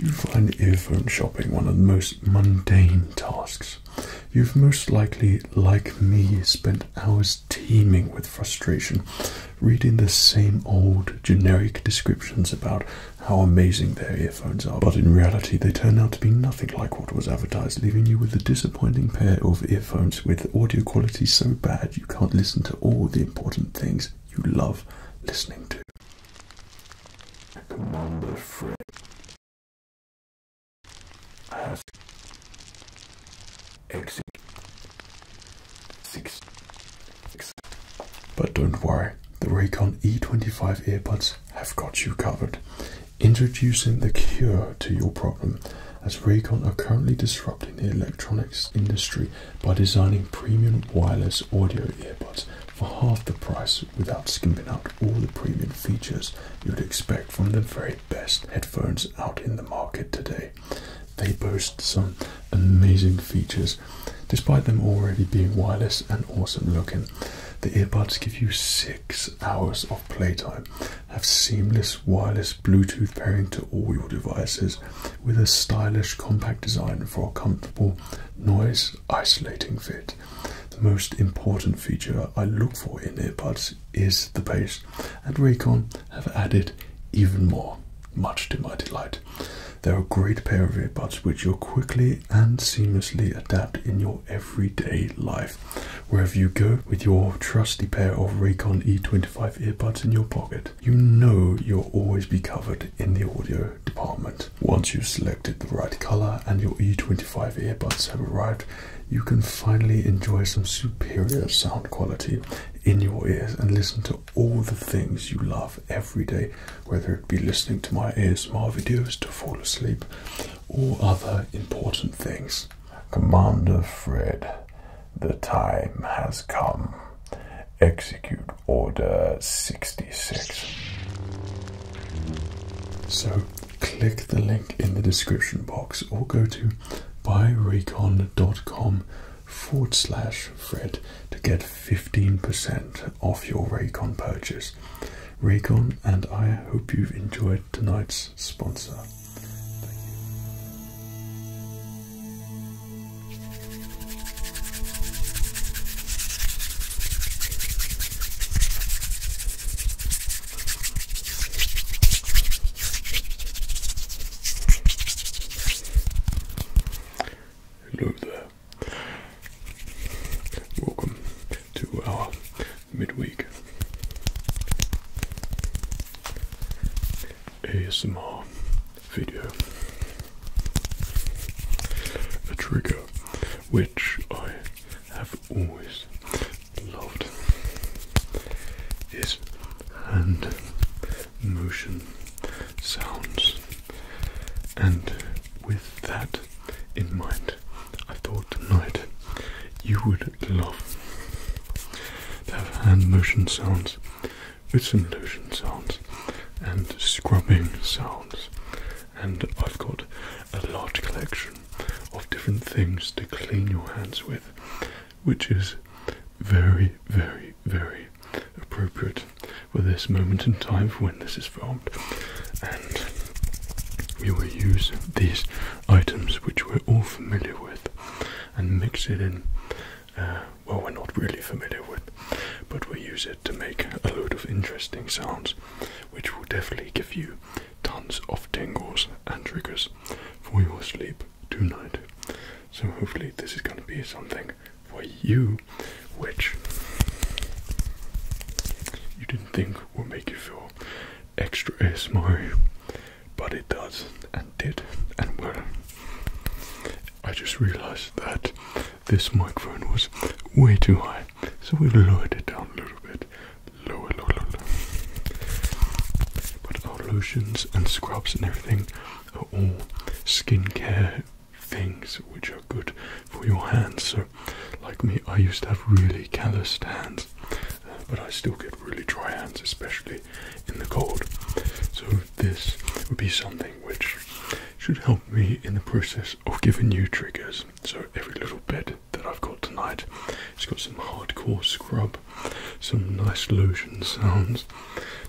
Do you find earphone shopping one of the most mundane tasks? You've most likely, like me, spent hours teeming with frustration, reading the same old generic descriptions about how amazing their earphones are, but in reality, they turn out to be nothing like what was advertised, leaving you with a disappointing pair of earphones with audio quality so bad you can't listen to all the important things you love listening to. Commander Frick. But don't worry, the Raycon E25 earbuds have got you covered. Introducing the cure to your problem, as Raycon are currently disrupting the electronics industry by designing premium wireless audio earbuds for half the price without skimping out all the premium features you'd expect from the very best headphones out in the market today. They boast some amazing features, despite them already being wireless and awesome looking. The earbuds give you six hours of playtime, have seamless wireless Bluetooth pairing to all your devices, with a stylish compact design for a comfortable noise isolating fit. The most important feature I look for in earbuds is the bass, and Raycon have added even more, much to my delight. They're a great pair of earbuds which you'll quickly and seamlessly adapt in your everyday life. Wherever you go with your trusty pair of Raycon E25 earbuds in your pocket, you know you'll always be covered in the audio department. Once you've selected the right color and your E25 earbuds have arrived, you can finally enjoy some superior sound quality in your ears and listen to all the things you love every day, whether it be listening to my my videos to fall asleep or other important things. Commander Fred, the time has come. Execute Order 66. So, click the link in the description box or go to buyrecon.com forward slash Fred to get 15% off your Raycon purchase. Raycon and I hope you've enjoyed tonight's sponsor. Hello there. Welcome to our midweek ASMR video. A trigger which I have always loved is hand motion sounds, and with that in mind, I thought tonight you would love to have hand motion sounds with some lotion sounds and scrubbing sounds, and I've got a large collection of different things to clean your hands with, which is very, very, very appropriate for this moment in time for when this is filmed. And we will use these items which we're all familiar with and mix it in. Uh, well, we're not really familiar with, but we use it to make a load of interesting sounds, which will definitely give you tons of tingles and triggers for your sleep tonight. So, hopefully, this is going to be something for you which you didn't think would make you feel extra ASMR, but it does and did and will. I just realized that this microphone was way too high, so we have lowered it down a little bit but our lotions and scrubs and everything are all skincare things which are good for your hands. So, like me, I used to have really calloused hands, uh, but I still get really dry hands, especially in the cold. So, this would be something which should help me in the process of giving you triggers so every little bed that I've got tonight, it's got some hardcore scrub, some nice lotion sounds,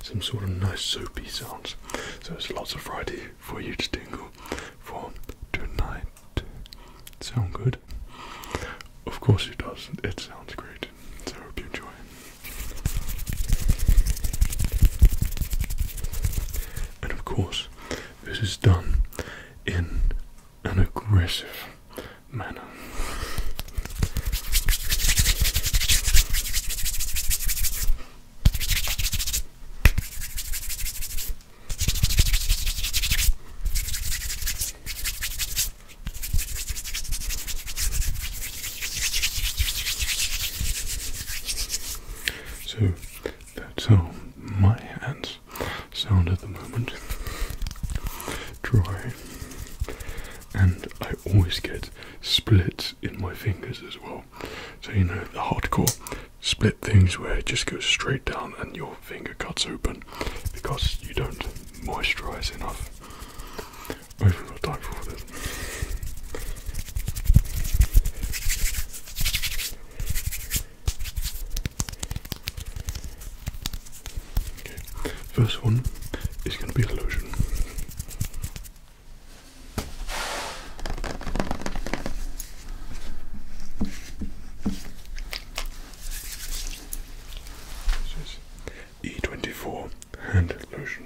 some sort of nice soapy sounds. So there's lots of variety for you to tingle for tonight. Sound good? Of course it does. It sounds great. So I hope you enjoy. And of course, this is done in an aggressive manner. So that's how my hands sound at the moment. Dry. And I always get splits in my fingers as well. So, you know, the hardcore split things where it just goes straight down and your finger cuts open because you don't moisturize enough. I have time for all Okay, first one is going to be a lotion. E24 hand lotion.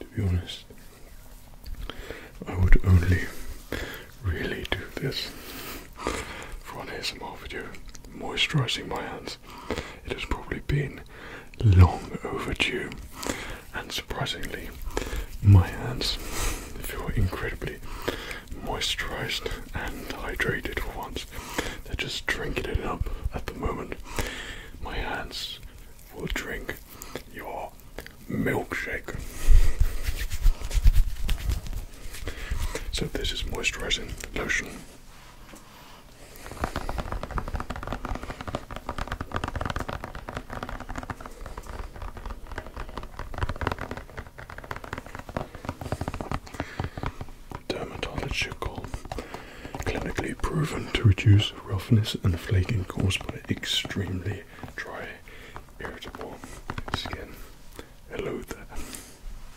To be honest, I would only really do this for an ASMR video. Moisturizing my hands. It has probably been long overdue, and surprisingly, my hands feel incredibly moisturized and hydrated for once. They're just drinking it up at the moment. My hands will drink your milkshake. So, this is moisturizing lotion. Dermatological, clinically proven to reduce roughness and flaking caused by extremely dry, irritable skin. Hello there.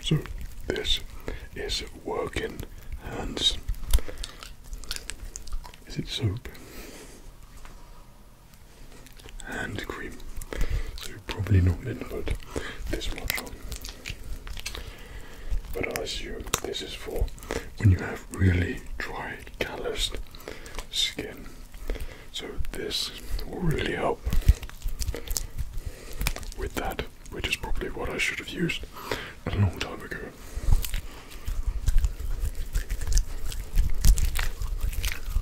So this is working hands. Is it soap? hand cream. So you probably not need this much on. But I assume this is for when you have really dry, calloused skin. So this will really help with that, which is probably what I should have used a long time ago.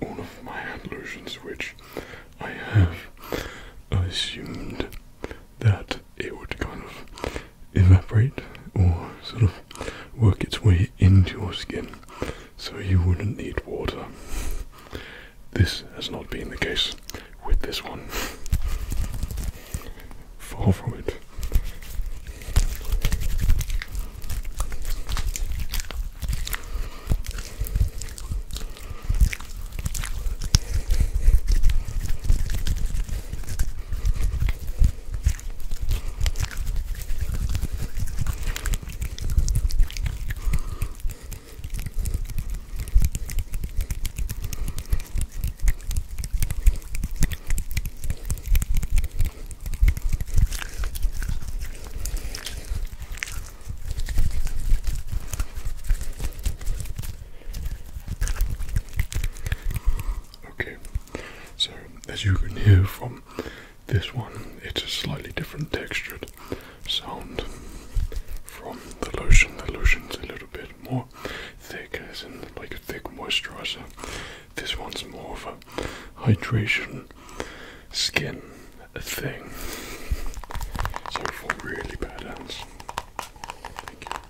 all of my handlotions which I have assumed that it would kind of evaporate or sort of work its way into your skin so you wouldn't need water. This has not been the case with this one fall from it. Okay, so as you can hear from this one, it's a slightly different textured sound from the lotion. The lotion's a little bit more more thick, as in like a thick moisturizer. This one's more of a hydration skin thing. So for really bad hands. Thank you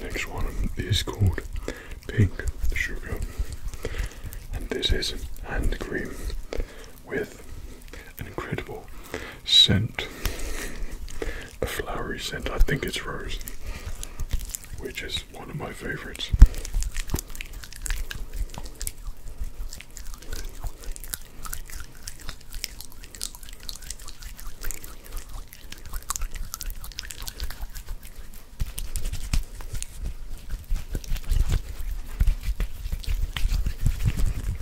next one is called Pink Sugar, and this is hand cream with an incredible scent, a flowery scent. I think it's rose, which is one of my favorites.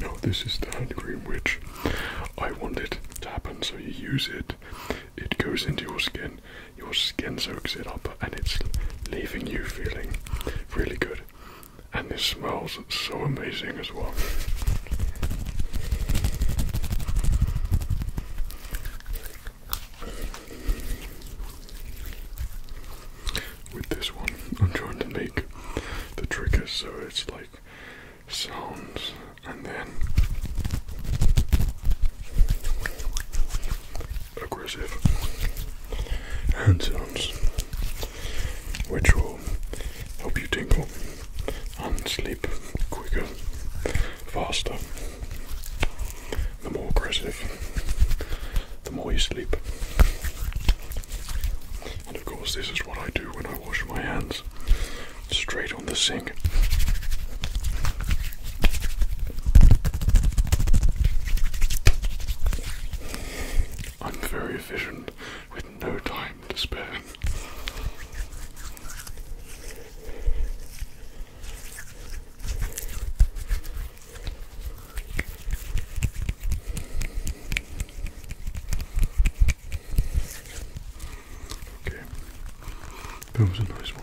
Now, this is the hand cream which I wanted to happen, so you use it, it goes into your skin, your skin soaks it up, and it's leaving you feeling really good. And it smells so amazing as well with this one. I'm trying to make the trigger so it's like sounds and then aggressive hand sounds, which will help you tingle and sleep quicker, faster. The more aggressive the more you sleep. And of course, this is what I do when I wash my hands straight on the sink. I'm very efficient with no time to spare. Okay, that was a nice one.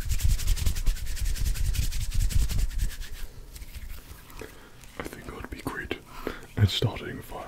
I think I'd be great at starting fire.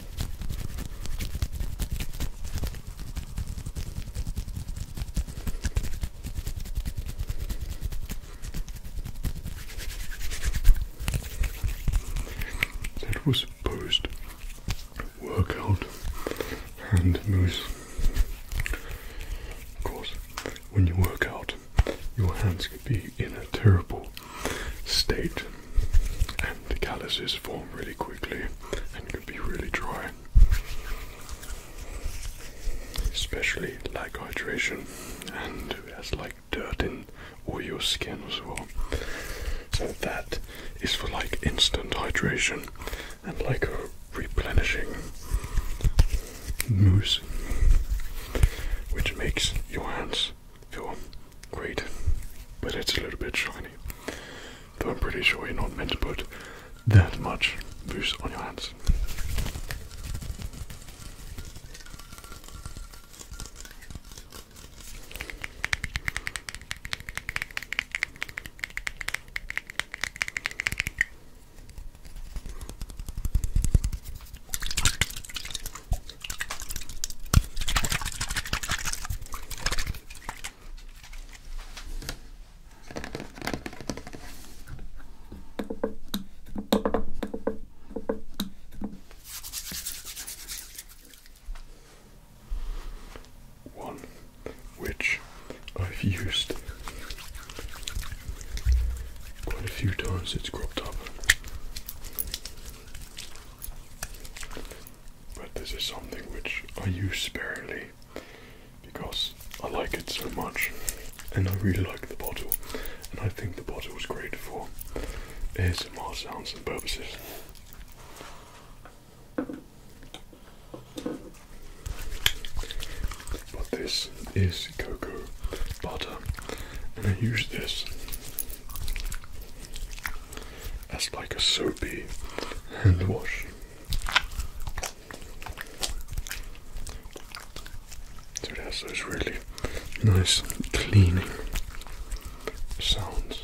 That was post workout hand moves. Of course, when you work out, your hands can be in a terrible state and the calluses form really quickly and can be really dry. Especially like hydration and as like dirt in all your skin as well. So that is for like instant hydration and like a replenishing mousse which makes your hands feel great but it's a little bit shiny Though I'm pretty sure you're not meant to put that much booze on your hands. One which I've used quite a few times, it's cropped up but this is something which I use sparingly because I like it so much and I really like the bottle and I think the bottle is great for ASMR sounds and purposes. But this is cocoa butter and I use this as like a soapy hand wash. So it has those really nice cleaning sounds.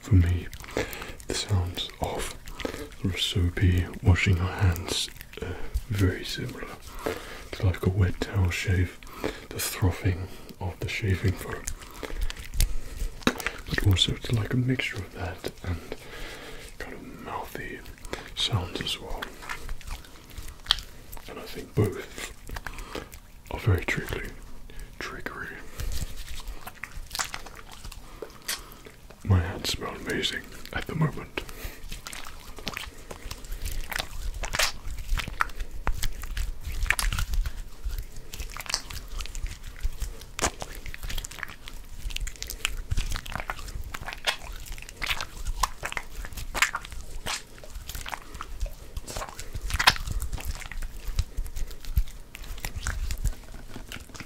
for me the sounds of sort of soapy washing our hands uh, very similar It's like a wet towel shave, the throffing of the shaving foam. But also it's like a mixture of that and kind of mouthy sounds as well. And I think both are very triggering. Trickery. My hands smell amazing at the moment.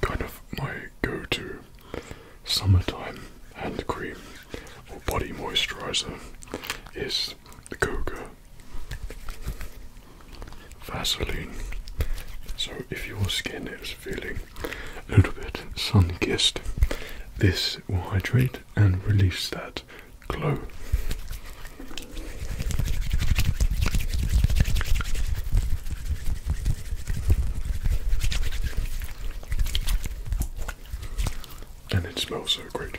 Kind of my go to summertime hand cream or body moisturizer is the Goga Vaseline. So, if your skin is feeling a little bit sun kissed. This will hydrate and release that glow. And it smells so great.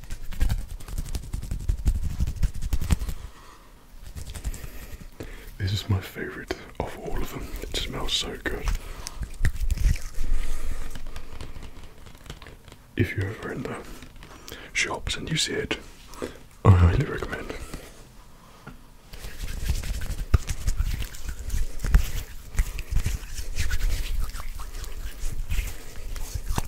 This is my favorite of all of them. It smells so good. If you're ever in the shops and you see it, I highly recommend.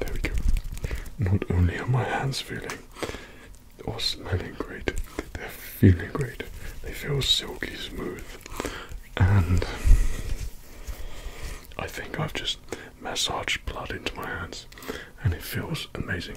There we go. Not only are my hands feeling or smelling great, they're feeling great. They feel silky smooth. And I think I've just massaged blood into my hands and it feels amazing.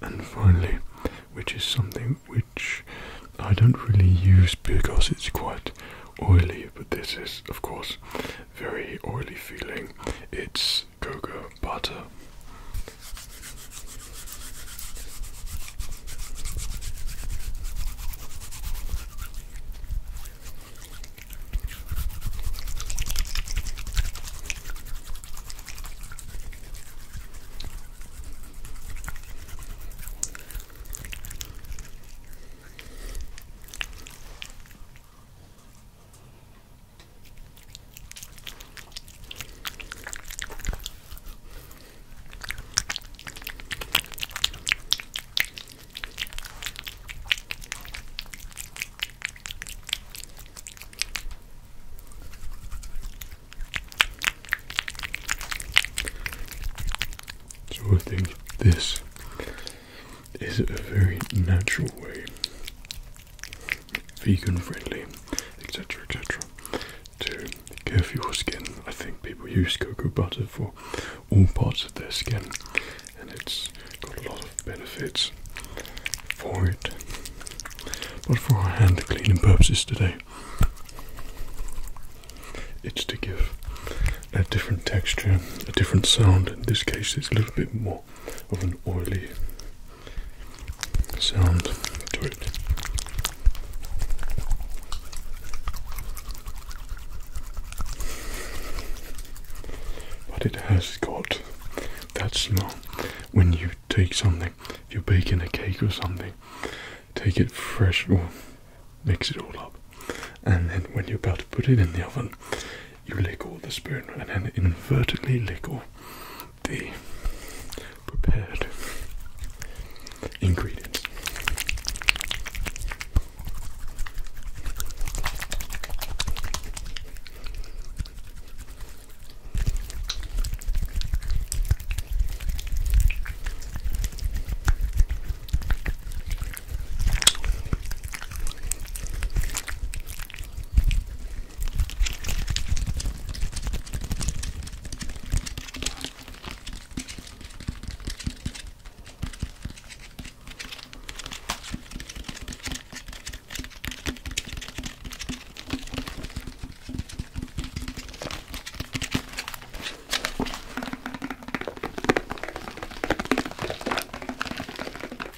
And finally, which is something which I don't really use because it's quite oily, but this is, of course, very oily feeling. It's cocoa butter. So I think this is a very natural way, vegan friendly, etc. etc. To care for your skin, I think people use cocoa butter for all parts of their skin, and it's got a lot of benefits for it. But for hand cleaning purposes today, it's to give a different texture, a different sound. In this case, it's a little bit more of an oily sound to it. But it has got that smell when you take something, if you're baking a cake or something, take it fresh or mix it all up, and then when you're about to put it in the oven, you lick all the spoon and then inadvertently lick all the prepared ingredients.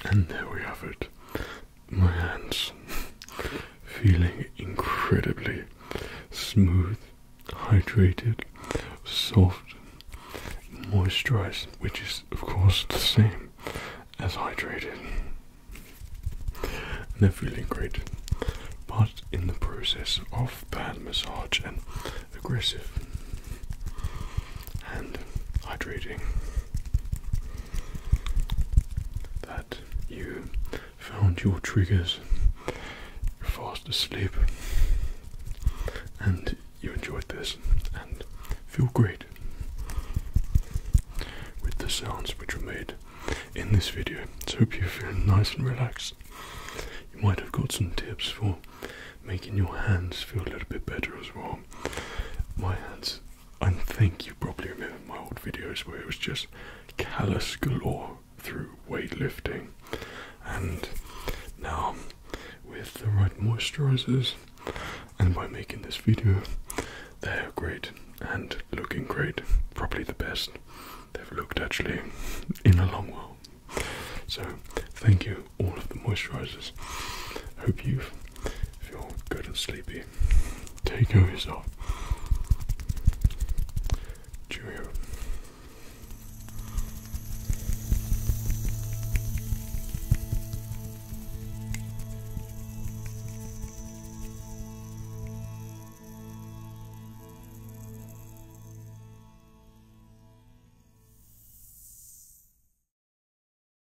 And there we have it my hands, feeling incredibly smooth, hydrated, soft, moisturized, which is, of course, the same as hydrated. And they're feeling great. But in the process of bad massage and aggressive and hydrating that you found your triggers, you're fast asleep, and you enjoyed this and feel great with the sounds which were made in this video. So, hope you're feeling nice and relaxed. You might have got some tips for making your hands feel a little bit better as well. My hands I think you probably remember my old videos where it was just callous galore through weightlifting, and now with the right moisturizers and by making this video, they're great and looking great. Probably the best they've looked actually in a long while. So, thank you all of the moisturizers. Hope you've if you're good and sleepy, take care of yourself.